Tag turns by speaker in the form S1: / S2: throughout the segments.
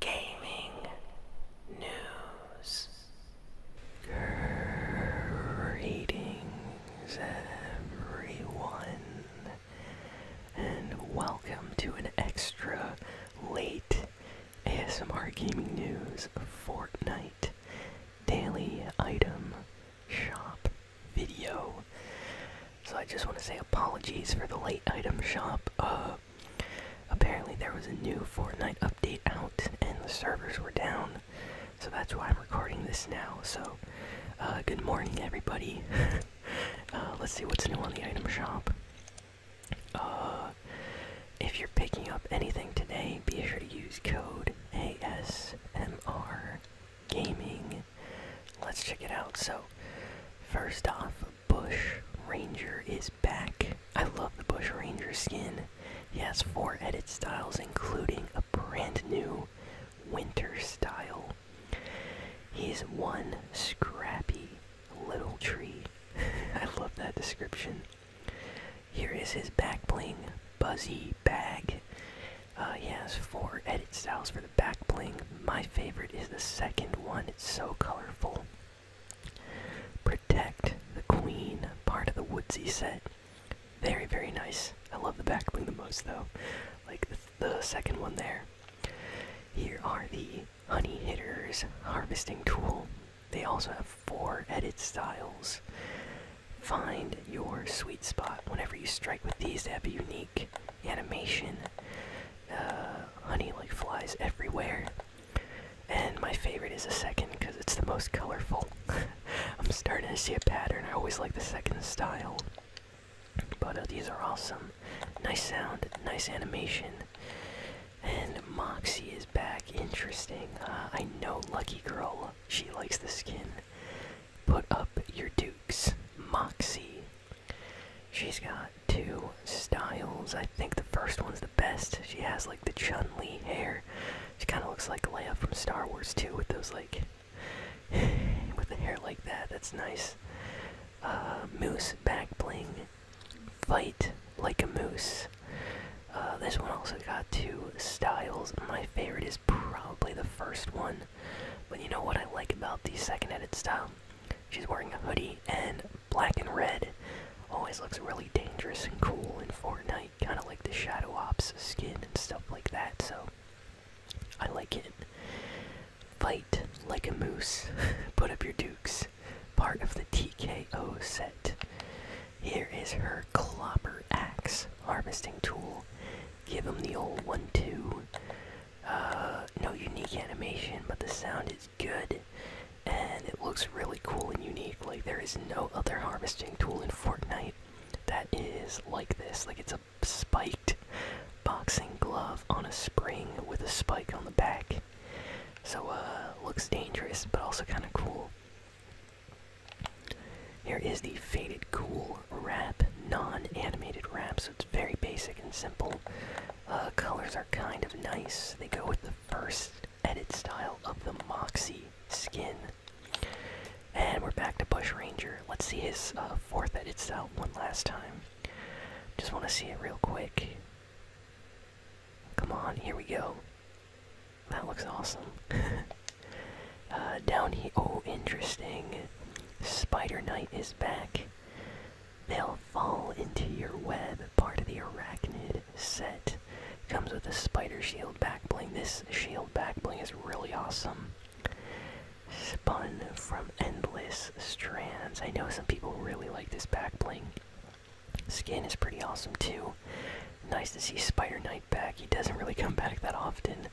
S1: gaming news. Greetings, everyone, and welcome to an extra late ASMR Gaming News Fortnite Daily Item Shop video. So I just want to say apologies for the late item shop. Uh, Apparently, there was a new Fortnite update out, and the servers were down, so that's why I'm recording this now. So, uh, good morning, everybody. Uh, let's see what's new on the item shop. Uh, if you're picking up anything today, be sure to use code ASMR Gaming. Let's check it out. So, first off, Bush Ranger is back. I love the Bush Ranger skin. He has four edit styles, including a brand new winter style. He's one scrappy little tree. I love that description. Here is his back bling buzzy bag. Uh, he has four edit styles for the back bling. My favorite is the second one. It's so colorful. Protect the Queen, part of the Woodsy set. Very, very nice. I love the back bling the most, though. Like the second one there. Here are the Honey Hitter's harvesting tool. They also have four edit styles. Find your sweet spot. Whenever you strike with these, they have a unique animation. Uh, honey like flies everywhere. And my favorite is the second because it's the most colorful. I'm starting to see a pattern. I always like the second style. But uh, these are awesome. Nice sound, nice animation. And Moxie is back. Interesting. Uh, I know Lucky Girl, she likes the skin. Put up your dukes. Moxie She's got two styles. I think the first one's the best. She has like the Chun Li hair. She kind of looks like Leia from Star Wars too, with those like, with the hair like that. That's nice. Uh, moose back bling. Fight like a moose. Uh, this one also got two styles. My favorite is probably the first one, but you know what I like about the second edit style? She's wearing a hoodie and black and red always looks really dangerous and cool in Fortnite, kind of like the Shadow Ops skin and stuff like that, so I like it. Fight like a moose, put up your dukes, part of the TKO set. Here is her clopper axe harvesting tool. Give him the old one too. Uh, no unique animation, but the sound is good and it looks really cool and unique. Like, there is no other harvesting tool in Fortnite that is like this. Like, it's a spiked boxing glove on a spring with a spike on the back. So, uh, looks dangerous, but also kind of cool. Here is the Faded Cool wrap, non animated wrap, so it's very basic and simple. Uh, colors kind of nice. They go with the first edit style of the Moxie skin. And we're back to Bush Ranger. Let's see his uh, fourth edit style one last time. Just want to see it real quick. Come on, here we go. That looks awesome. Uh, Downy. Oh, interesting. Spider Knight is back. They'll fall into your web, part of the arachnid set. Comes with a spider shield back bling. This shield back bling is really awesome. Spun from endless strands. I know some people really like this back bling. Skin is pretty awesome too. Nice to see Spider Knight back. He doesn't really come back that often.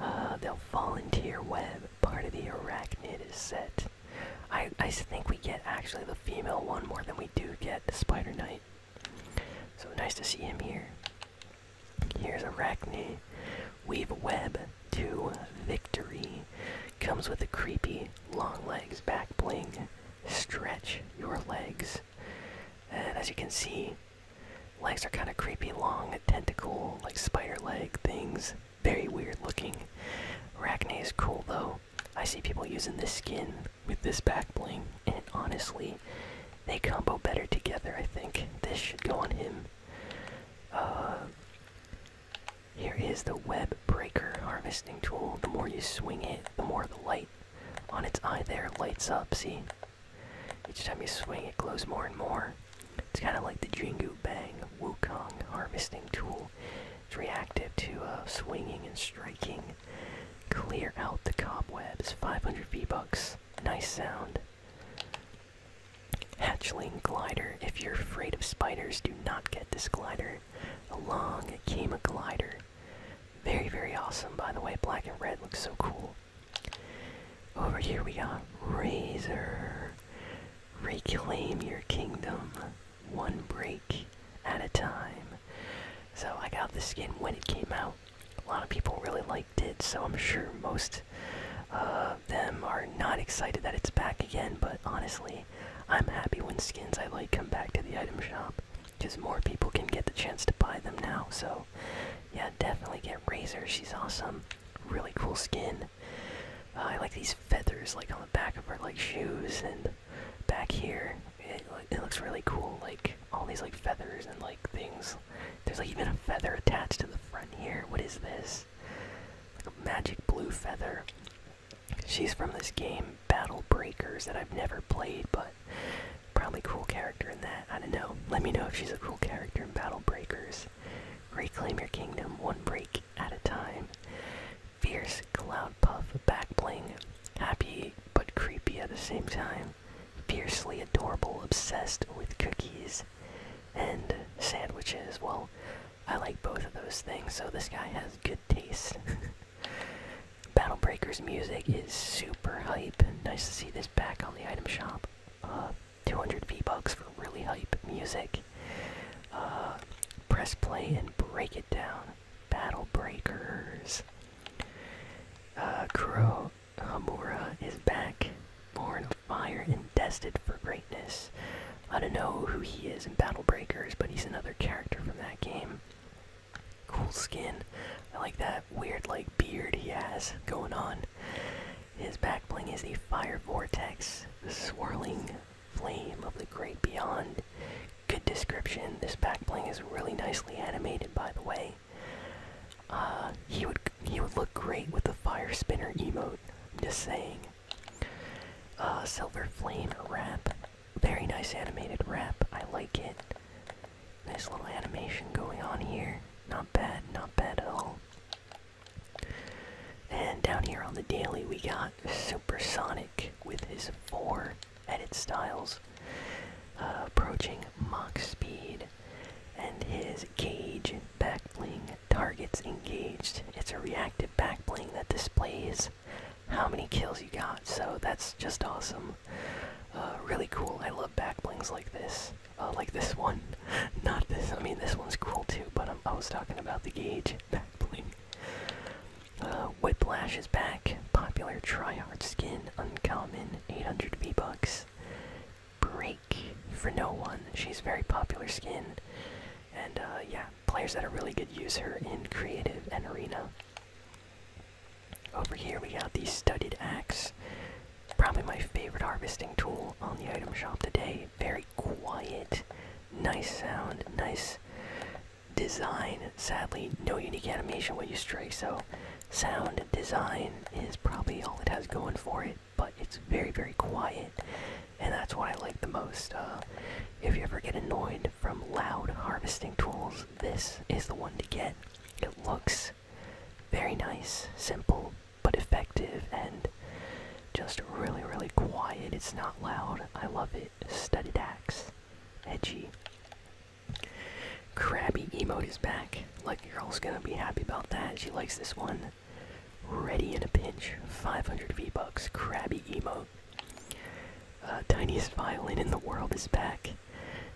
S1: Uh, they'll fall into your web, part of the arachnid set. I, I think we get actually the female one more than we do get the Spider Knight. So nice to see him here. Here's Arachne. Weave a web to victory. Comes with a creepy long legs back bling. Stretch your legs. And as you can see, legs are kind of creepy long, tentacle, like spider leg things very weird looking. Arachne is cool though. I see people using this skin with this back bling, and honestly, they combo better together, I think. This should go on him. Uh, here is the web breaker harvesting tool. The more you swing it, the more the light on its eye there lights up, see? Each time you swing, it glows more and more. It's kind of like the Jingu Bang Wukong harvesting tool. It's reactive to uh, swinging and striking. Clear out the cobwebs. 500 V-Bucks. Nice sound. Hatchling Glider. If you're afraid of spiders, do not get this glider. Along came a glider. Very, very awesome, by the way. Black and red looks so cool. Over here we got Razor reclaim your kingdom one break at a time. So I got the skin when it came out. A lot of people really liked it, so I'm sure most uh, of them are not excited that it's back again, but honestly, I'm happy when skins I like come back to the item shop because more people can get the chance to buy them now. So, yeah, definitely get Razor. She's awesome. Really cool skin. Uh, I like these feathers, like on the back of her like shoes and back here. It, it looks really cool. Like all these like feathers and like things. There's like even a feather attached to the front here. What is this? Like a magic blue feather. She's from this game Battle Breakers that I've never played, but probably cool character in that. I don't know. Let me know if she's a cool character in Battle Breakers. Reclaim your kingdom one break at a time. Fierce Cloud Puff Back Bling. Happy but creepy at the same time. Fiercely adorable, obsessed with cookies and sandwiches. Well, I like both of those things, so this guy has good taste. Battle Breakers music is super hype. Nice to see this back on the item shop. Uh, 200 V-Bucks for really hype music. Uh, press play and break it down. Battle Breakers. Crow uh, Kuro Hamura is back, born of fire and destined for greatness. I don't know who he is in Battle Breakers, but he's another character from that game. Cool skin. I like that weird, like, beard he has going on. His backbling is the Fire Vortex, the swirling flame of the great beyond. Good description. This backbling is really nicely animated, by the way. Uh, he would he would look great with the fire spinner emote. I'm just saying. Uh, silver flame wrap, very nice animated wrap. I like it. Nice little animation going on here. Not bad, not bad at all. And down here on the daily, we got Supersonic with his four edit styles, uh, approaching Mach speed, and his gauge backbling targets engaged. It's a reactive backbling that displays how many kills you got, so that's just awesome. Uh, really cool. I love backblings like this. Oh, like this one. Not this. I mean, this one's cool too, but i was talking about the gauge back bling. Uh, Whiplash is back. Popular tryhard skin. Uncommon. 800 V-Bucks. Break for no one. She's very popular skin. And uh, yeah, players that are really good use her in creative and arena. Over here we got these studded axe. Probably my favorite harvesting tool on the item shop today. Very quiet, nice sound, nice design. Sadly, no unique animation when you strike, so sound design is probably all it has going for it, but it's very, very quiet, and that's what I like the most. Uh, if you ever get annoyed from loud harvesting tools, this is the one to get. It looks very nice, simple, but effective, and just really, really quiet. It's not loud. I love it. Studded axe. Edgy. Crabby emote is back. Lucky girl's gonna be happy about that. She likes this one. Ready in a pinch. 500 V-Bucks. Crabby emote. Uh, tiniest violin in the world is back.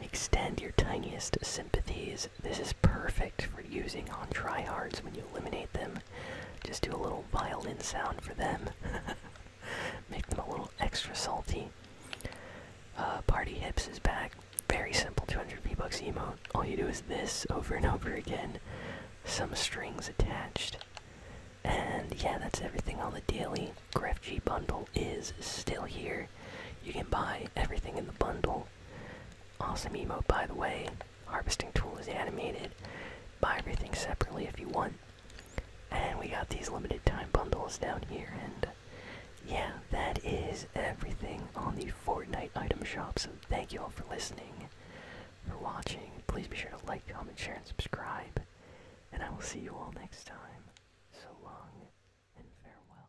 S1: Extend your tiniest sympathies this is perfect for using on tryhards when you eliminate them. Just do a little violin sound for them. Make them a little extra salty. Uh, Party Hips is back. Very simple 200 V-Bucks emote. All you do is this over and over again. Some strings attached. And yeah, that's everything on the daily Gref bundle is still here. You can buy everything in the bundle. Awesome emote, by the way. Harvesting tool is animated. Buy everything separately if you want. And we got these limited time bundles down here. And yeah, that is everything on the Fortnite item shop. So thank you all for listening, for watching. Please be sure to like, comment, share, and subscribe. And I will see you all next time. So long and farewell.